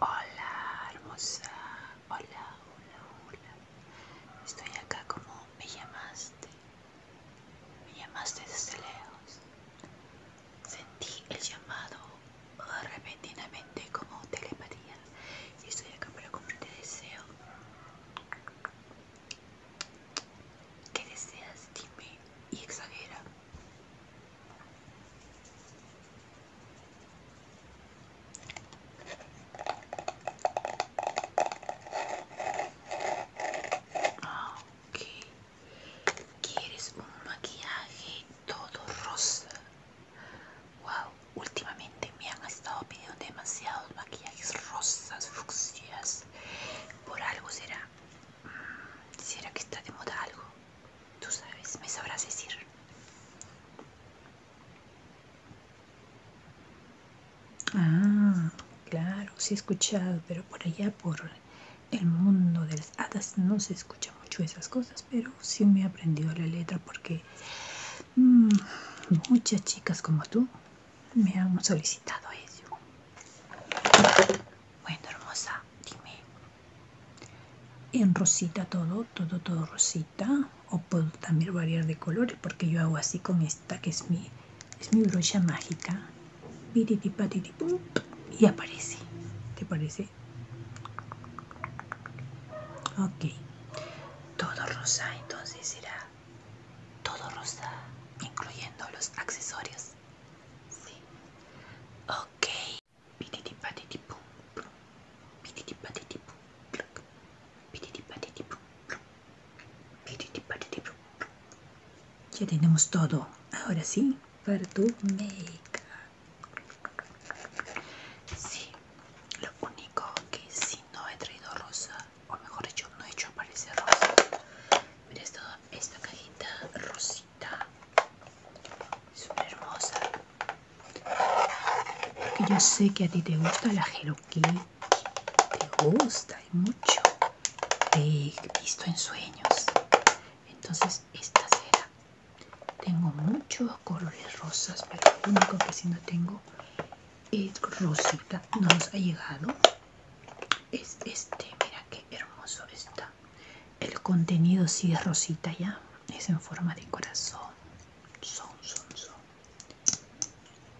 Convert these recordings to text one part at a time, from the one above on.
Hola hermosa, hola, hola, hola. Estoy acá como me llamaste. Me llamaste desde lejos. Sentí el llamado repentinamente como telepatía. Y estoy acá como te deseo. ¿Qué deseas? Dime y exagera. Ah, ok. ¿Quieres un maquillaje todo rosa? Wow, últimamente me han estado pidiendo demasiados maquillajes rosas, fucsias. Por algo será. Mm, ¿Será que está de moda algo? Tú sabes, me sabrás decir. Ah, claro, sí he escuchado, pero por allá, por el mundo de las hadas, no se escucha mucho esas cosas, pero sí me he aprendido la letra porque mm, muchas chicas como tú me han solicitado eso. Bueno, hermosa, dime. En rosita todo, todo, todo rosita. O puedo también variar de colores porque yo hago así con esta que es mi, es mi brocha mágica. Y aparece. ¿Te parece? Ok. Todo rosa, entonces será todo rosa, incluyendo los accesorios. Sí. Ok. Ya tenemos todo. Ahora sí, para tu make. Sí, lo único que sí no he traído rosa, o mejor dicho, no he hecho aparecer rosa. Mira esta cajita rosa. Es una hermosa. Porque yo sé que a ti te gusta la Hello Te gusta y mucho. he visto en sueños. Entonces esta será. Tengo muchos colores rosas, pero lo único que si no tengo es rosita. No nos ha llegado. Es este, mira qué hermoso está. El contenido sí es rosita ya, es en forma de corazón. Son, son, son.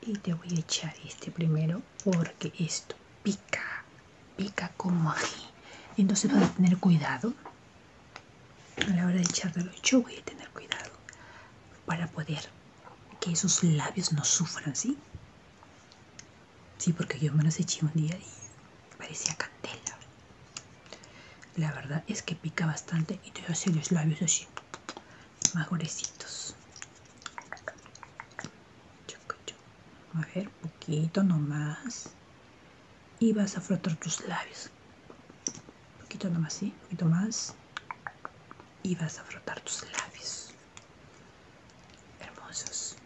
Y te voy a echar este primero porque esto pica, pica como ají. Entonces vas a tener cuidado. A la hora de echarlo. yo voy a tener cuidado para poder que esos labios no sufran, ¿sí? Sí, porque yo me los eché un día y parecía candela. La verdad es que pica bastante y te hace los labios así, más A ver, poquito nomás. Y vas a frotar tus labios. Poquito nomás, sí, poquito más. Y vas a frotar tus labios. Hermosos.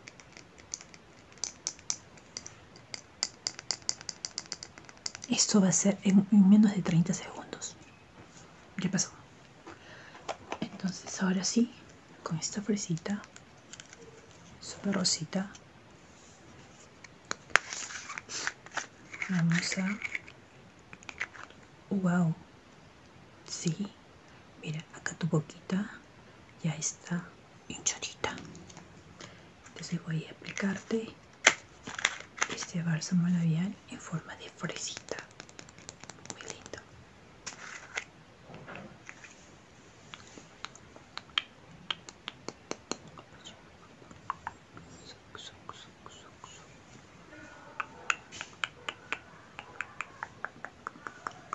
Esto va a ser en, menos de 30 segundos. Ya pasó. Entonces ahora sí, con esta fresita, super rosita, vamos a... ¡Wow! Sí, mira, acá tu boquita ya está hinchadita entonces voy a aplicarte este bálsamo labial en forma de fresita muy lindo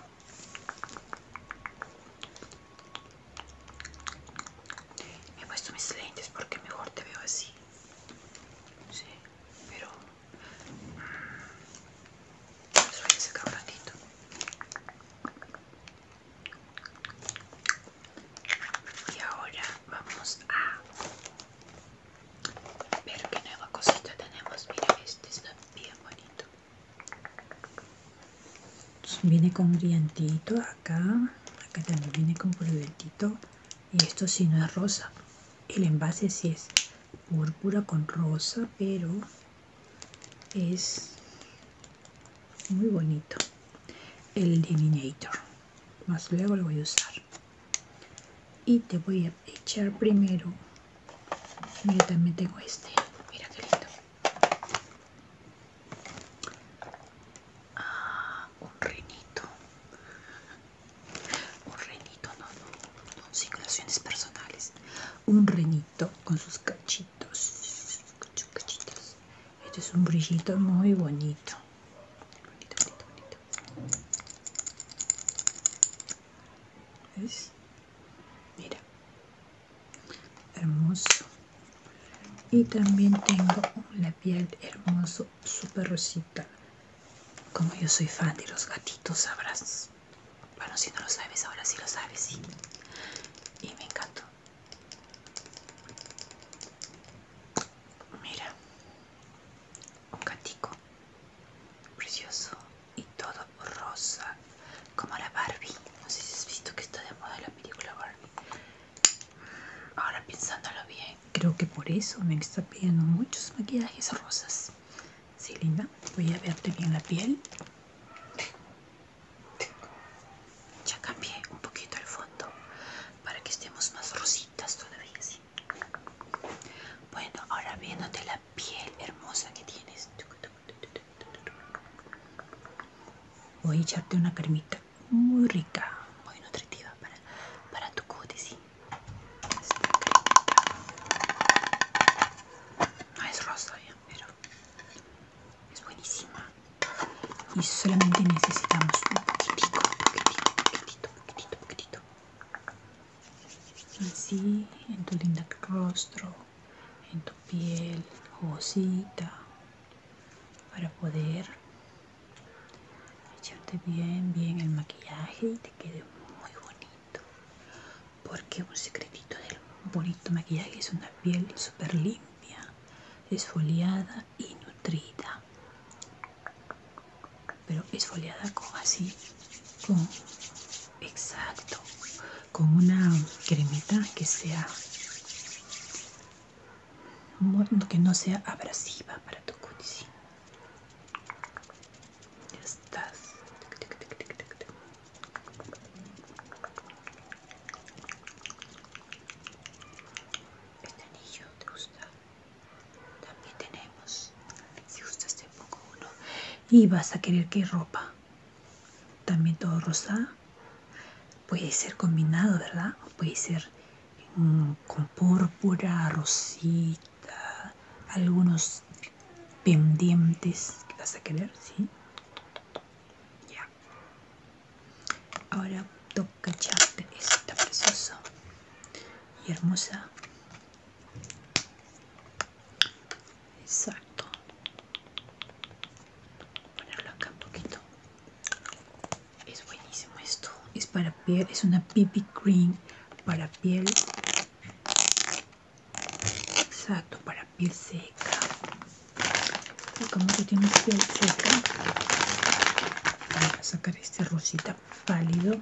me he puesto mis lentes porque mejor te veo así. Sí, pero los ese a sacar un ratito. Y ahora vamos a ver qué nueva cosita tenemos. Mira, este está bien bonito viene con brillantito acá acá también viene con brillantito y esto si sí no es rosa el envase si es púrpura con rosa pero es muy bonito el delineator más luego lo voy a usar y te voy a echar primero mira también tengo este mira qué lindo Ah, un reinito. Un reinito, no, no, no, signaciones personales. Un reinito con sus cachitos. Con sus cachitos. Este es un brillito muy bonito. Bonito, bonito, bonito. ¿Ves? Mira, hermoso y también tengo la piel hermoso super rosita como yo soy fan de los gatitos sabrás bueno si no lo sabes ahora si lo sabes y me encantó mira un gatico precioso y todo rosa como la Barbie no sé si has visto que está de moda la película Barbie mm, ahora pensándolo bien creo que por eso me está pidiendo muchos maquillajes rosas si linda voy a verte bien la piel ya cambié un poquito el fondo para que estemos más rositas todavía bueno ahora viéndote la piel hermosa que tienes Voy a echarte una cremita muy rica, muy nutritiva para, tu cutis. es rosa, pero es buenísima. Y solamente necesitamos un poquitito, poquitito, poquitito, un poquitito. Así en tu linda rostro en tu piel jugosita para poder echarte bien bien el maquillaje y te quede muy bonito porque un secretito del bonito maquillaje es una piel súper limpia esfoliada y nutrida pero esfoliada como así exacto con una cremita que sea que no sea abrasiva para tu cutis. ya estás este anillo te gusta también tenemos si gustas te pongo uno y vas a querer que ropa también todo rosa Puede ser combinado, ¿verdad? Puede ser mm, con púrpura, rosita, algunos pendientes que vas a querer, ¿sí? Ya. Ahora toca echarte esta preciosa y hermosa Exacto. Ponerlo acá un poquito. Es buenísimo esto. Es para piel, es una pipi cream para piel. Exacto, para piel seca. como que tiene piel seca. Voy a sacar este rosita pálido.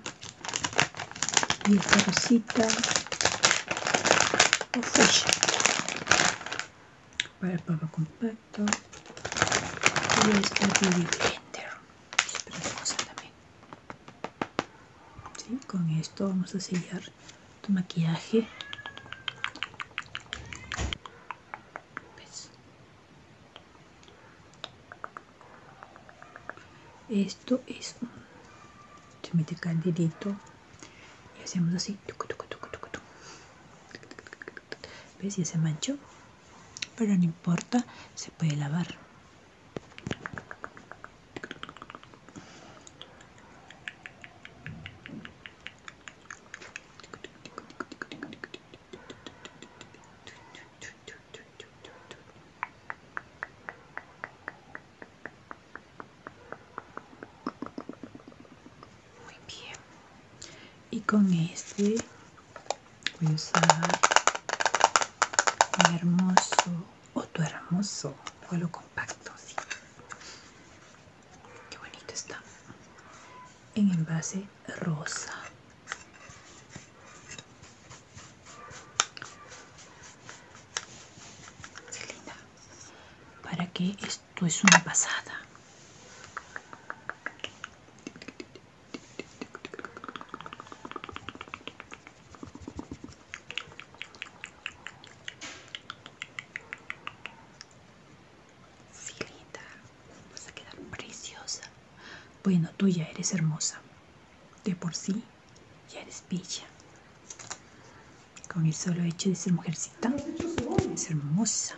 Y esta rosita para el papa compacto y este baby blender es preciosa también ¿Sí? con esto vamos a sellar tu maquillaje esto es un se mete candidito y hacemos así ves ya se manchó pero no importa se puede lavar muy bien. Y con este voy a usar un hermoso o tu hermoso lo compacto. Sí. Qué bonito está. En envase rosa. Para que esto es una pasada. Vas a quedar preciosa. Bueno, tú ya eres hermosa. De por sí ya eres pilla Con el solo hecho de ser mujercita, es hermosa.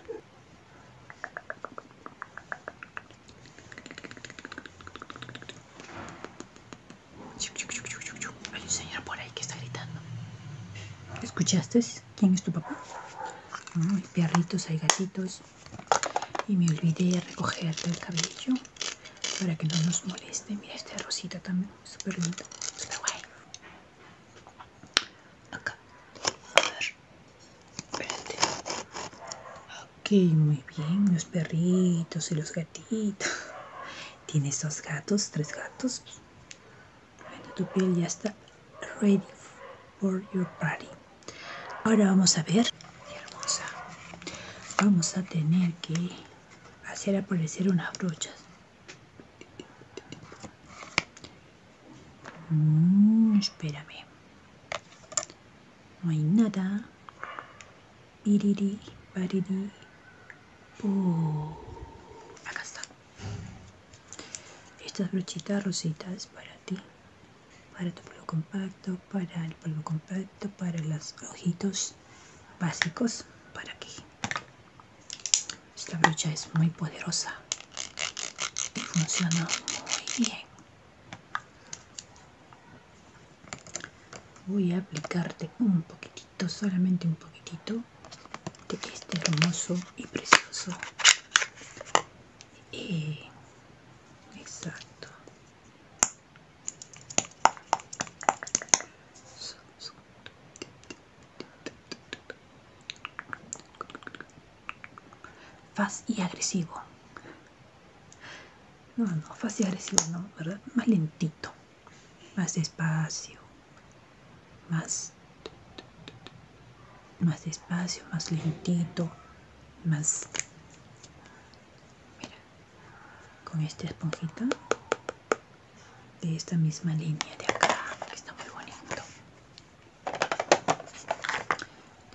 Hay un señor por ahí que está gritando. ¿Escuchaste? ¿Quién es tu papá? Hay perritos, hay gatitos. Y me olvidé de recogerte el cabello para que no nos moleste. Mira esta rosita también, súper linda súper guay. Acá, a Ok, muy bien, los perritos y los gatitos. Tienes dos gatos, tres gatos. tu piel ya está ready for your party. Ahora vamos a ver, hermosa. Vamos a tener que hacer aparecer unas brochas. Mm, espérame. No hay nada. acá está. Estas brochitas rositas para ti. Para tu polvo compacto, para el polvo compacto, para los ojitos básicos para que esta brocha es muy poderosa y funciona muy bien voy a aplicarte un poquitito solamente un poquitito de este hermoso y precioso eh, exacto Faz y agresivo. No, no, faz y agresivo, no, ¿verdad? Más lentito, más despacio, más, más despacio, más lentito, más con esta esponjita de esta misma línea de acá que está muy bonito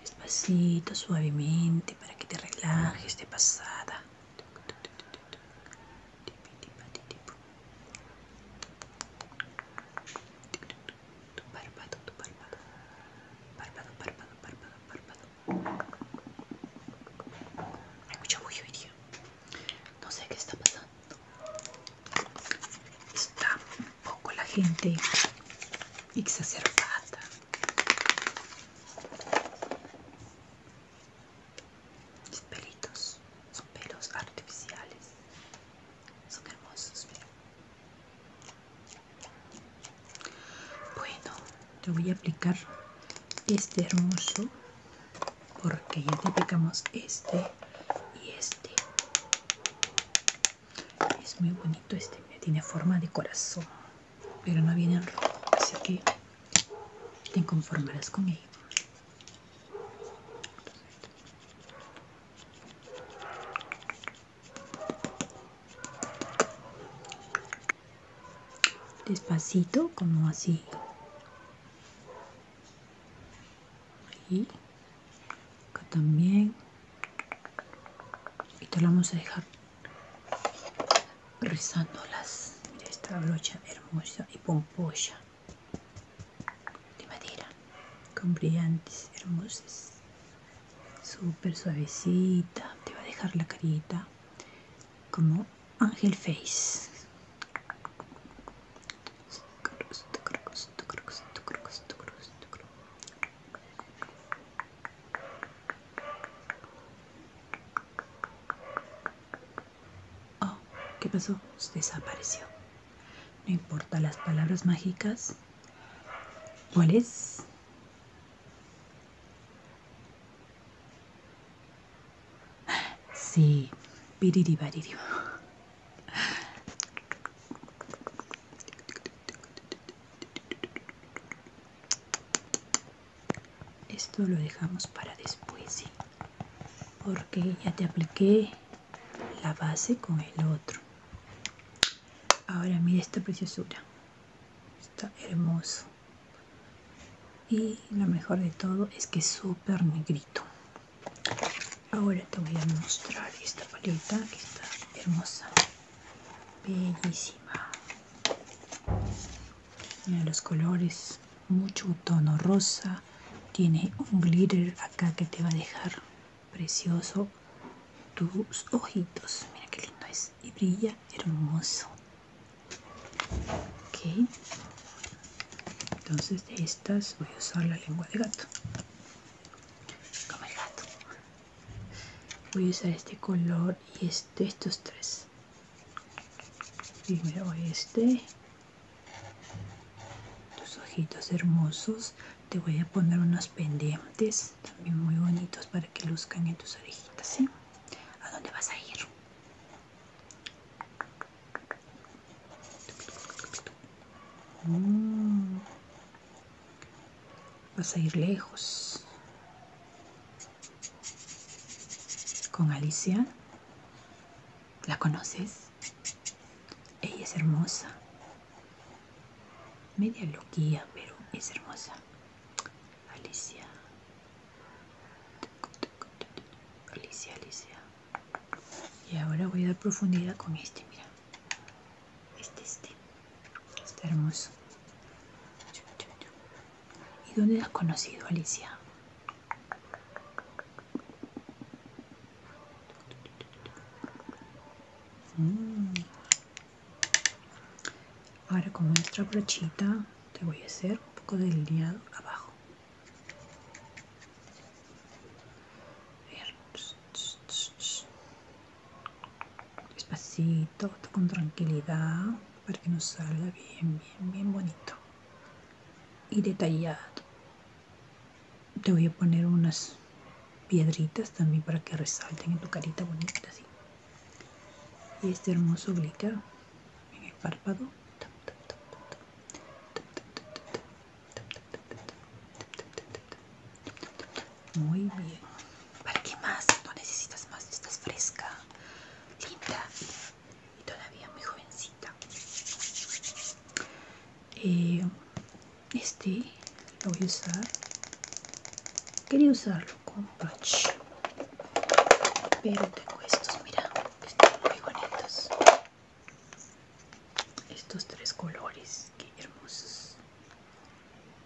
despacito suavemente para que te relajes de pasada tu párpado tu párpado párpado párpado párpado párpado mucho muy vídeo. No sé qué está pasando. Está un poco la gente exacerbada. Mis pelitos son pelos artificiales. Son hermosos, Bueno, te voy a aplicar este hermoso porque ya te aplicamos este y este es muy bonito este tiene forma de corazón pero no viene en rojo así que te conformarás con él despacito como así y acá también y te la vamos a dejar rizándolas Mira esta brocha hermosa y pomposa de madera con brillantes hermosas súper suavecita te va a dejar la carita como Ángel Face. Oh, ¿qué pasó? Desapareció. No importa las palabras mágicas. ¿Cuál es? Sí, piriribariribo. Esto lo dejamos para después, sí. Porque ya te apliqué la base con el otro. Ahora mira esta preciosura está hermoso y lo mejor de todo es que es súper negrito ahora te voy a mostrar esta paleta que está hermosa bellísima mira los colores mucho tono rosa tiene un glitter acá que te va a dejar precioso tus ojitos mira qué lindo es y brilla hermoso. Entonces de estas voy a usar la lengua de gato. Como el gato. Voy a usar este color y este, estos tres. Primero este. Tus ojitos hermosos. Te voy a poner unos pendientes también muy bonitos para que luzcan en tus orejitas, ¿sí? ¿A dónde vas a ir? Mm. Vas a ir lejos. Con Alicia. ¿La conoces? Ella es hermosa. Media loquía, pero es hermosa. Alicia. Alicia, Alicia. Y ahora voy a dar profundidad con este, mira. Este, este. Está hermoso. ¿Y dónde has conocido, Alicia? Mm. Ahora con nuestra brochita te voy a hacer un poco delineado abajo. Despacito, con tranquilidad, para que nos salga bien, bien, bien bonito y detallado. Te voy a poner unas piedritas también para que resalten en tu carita bonita, así y este hermoso glitter en el párpado muy bien para qué más no necesitas más estás fresca linda y todavía muy jovencita eh, este lo voy a usar quería usarlo con pero tengo estos mira están muy bonitos estos tres colores que hermosos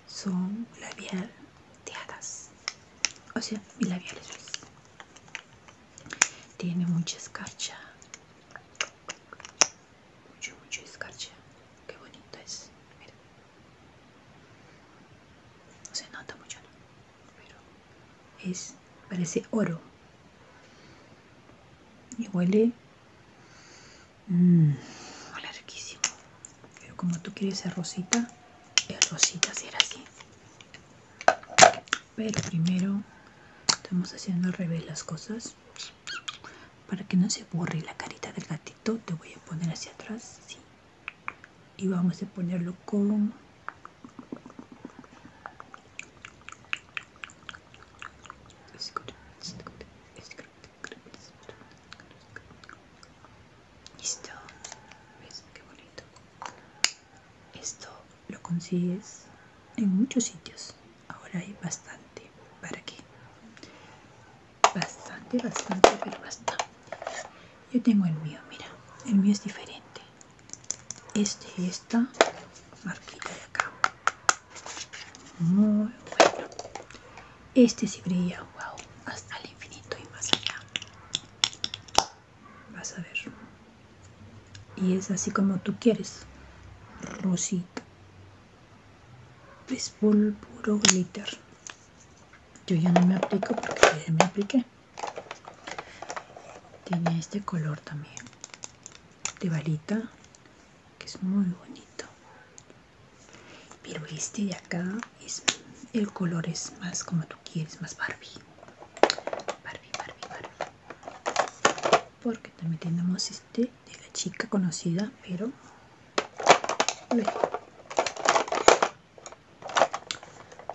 son labial de o sea mi labial es tiene mucha escarcha mucho mucho escarcha que bonito es mira no se nota mucho, pero es, parece oro. Y huele... Mm, larguísimo Pero como tú quieres ser rosita, es rosita será así. Pero primero estamos haciendo al revés las cosas. Para que no se borre la carita del gatito, te voy a poner hacia atrás, sí, y vamos a ponerlo con listo ves bonito esto lo consigues en muchos sitios ahora hay bastante para que bastante, bastante, pero basta Yo tengo el mío, mira, el mío es diferente. Este y esta marquita de acá. Muy bueno. Este si brilla, wow, hasta el infinito y más allá. Vas a ver. Y es así como tú quieres. Rosita. Es puro glitter yo ya no me aplico porque ya me apliqué tiene este color también de varita que es muy bonito pero este de acá es el color es más como tú quieres más barbie barbie barbie barbie porque también tenemos este de la chica conocida pero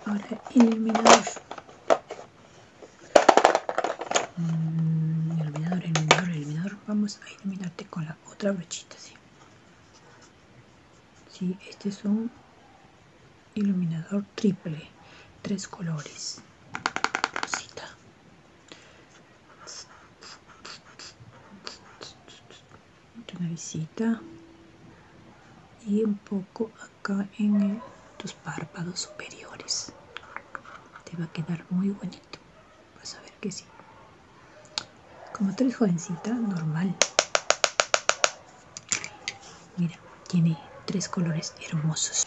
Ahora iluminador. Mm, iluminador, iluminador, iluminador. Vamos a iluminarte con la otra brochita, sí. Sí, este es un iluminador triple, tres colores. Rosita una visita y un poco acá en tus párpados superiores te va a quedar muy bonito vas a ver que sí como tres eres jovencita normal mira tiene tres colores hermosos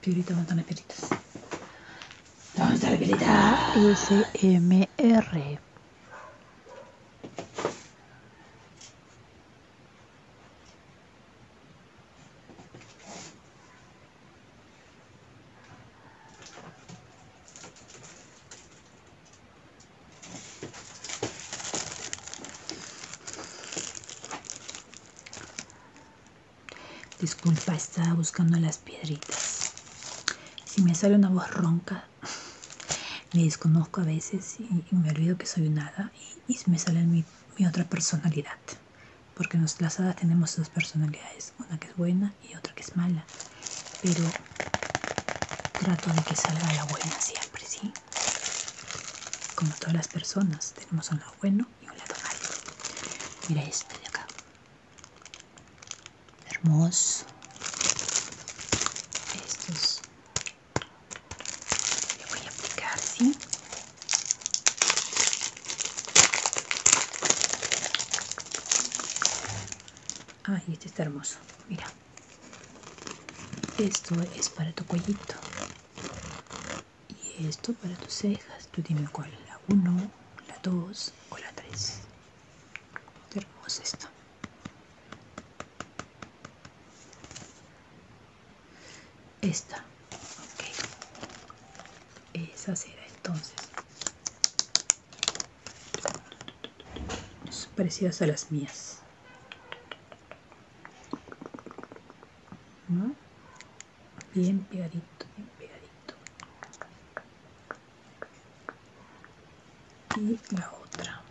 Piorita, ¿dónde están las pioritas? ¿Dónde están las pioritas? SMR. Disculpa, estaba buscando las piedritas. Si me sale una voz ronca, me desconozco a veces y, me olvido que soy un hada y, me sale mi, otra personalidad. Porque nos, las hadas tenemos dos personalidades, una que es buena y otra que es mala. Pero trato de que salga la buena siempre, ¿sí? Como todas las personas, tenemos una buena y un lado Mira este de acá. Hermoso. es lo voy a aplicar, así Ay, este está hermoso. Mira. Esto es para tu cuellito. Y esto para tus cejas, tú dime cuál, la 1, la 2 o la 3. Hermosa esta. Esta, ok. Esa será entonces. Son parecidas a las mías. ¿No? bien pegadito, bien pegadito. Y la otra.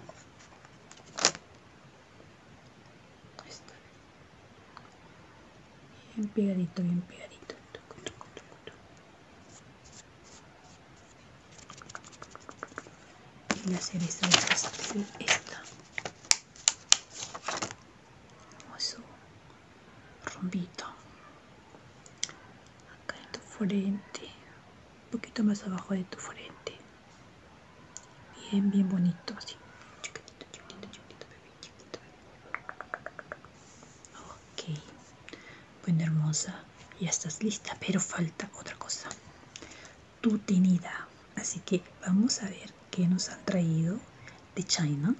Bien pegadito, bien pegadito. Y la cereza de pastel, esta o su rombito acá en tu frente un poquito más abajo de tu frente bien bien bonito así chiquitito chiquitito chiquitito bebé chiquitito bebé. ok bueno hermosa ya estás lista pero falta otra cosa tu tenida así que vamos a ver que nos han traído de China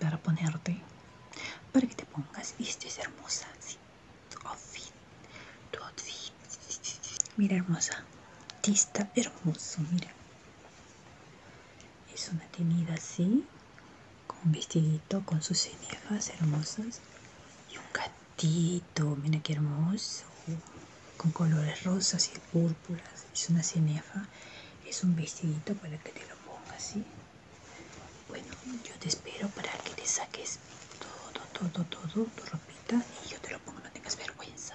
para ponerte, para que te pongas. Viste, es hermosa, outfit, Mira, hermosa. Tista hermoso, mira. Es una tenida así, con un vestidito, con sus cenefas hermosas. Y un gatito, mira qué hermoso con colores rosas y púrpuras. Es una cenefa, es un vestidito para que te lo pongas, ¿sí? Bueno, yo te espero para que te saques todo, todo, todo, tu ropita y yo te lo pongo, no tengas vergüenza.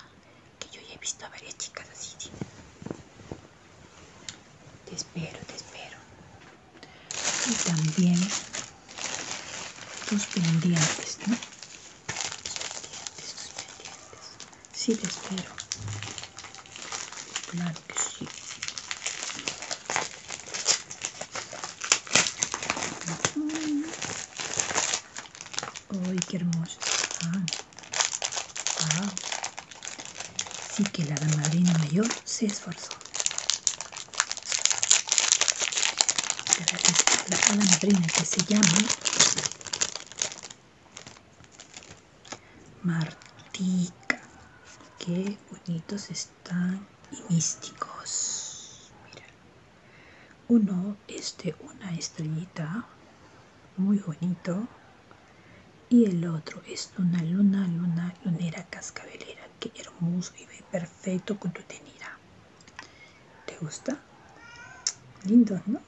Que yo ya he visto a varias chicas así, Te espero, te espero. Y también tus pendientes, ¿no? pendientes, Sí, te espero. Claro que sí. ¡Ay, qué hermoso Así ¡Wow! Sí que la madrina mayor se esforzó. la, la madrina que se llama Martica, qué bonitos están y místicos. Mira. Uno es de una estrellita, muy bonito. Y el otro es de una luna, luna, lunera cascabelera. Que hermoso y perfecto con tu tenida. ¿Te gusta? Lindo, ¿no?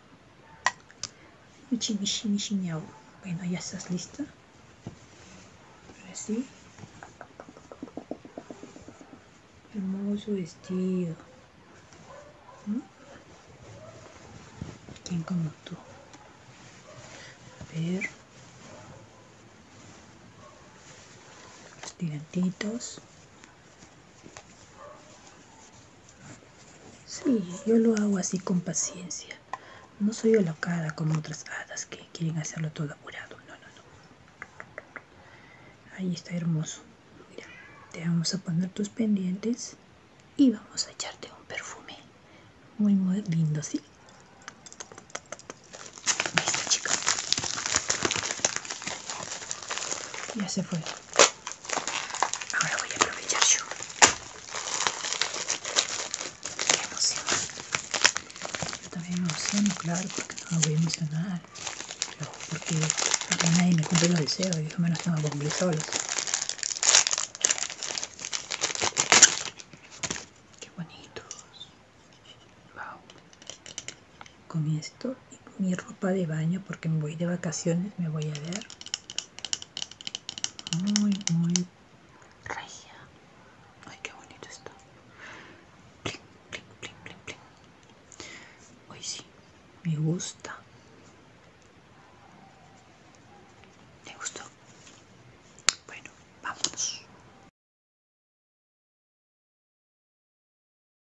¿no? Bueno, ya estás lista. Ahora sí. Hermoso vestido. ¿Quién como tú? A ver. Los tirantitos. Sí, yo lo hago así con paciencia. No soy locada como otras hadas que quieren hacerlo todo apurado. No, no, no. Ahí está hermoso. Mira, te vamos a poner tus pendientes y vamos a echarte un perfume. Muy, muy lindo, ¿sí? Listo, chica. Ya se fue. Ahora voy a aprovechar yo. Qué emoción. Yo también me claro, porque no me voy a emocionar. porque nadie me cumple los deseos y yo menos tengo que cumplir solos. Qué bonitos. Wow. Con esto y mi ropa de baño porque me voy de vacaciones, me voy a ver muy, muy regia. Ay, qué bonito está. Hoy sí, me gusta. me gustó? Bueno, vamos.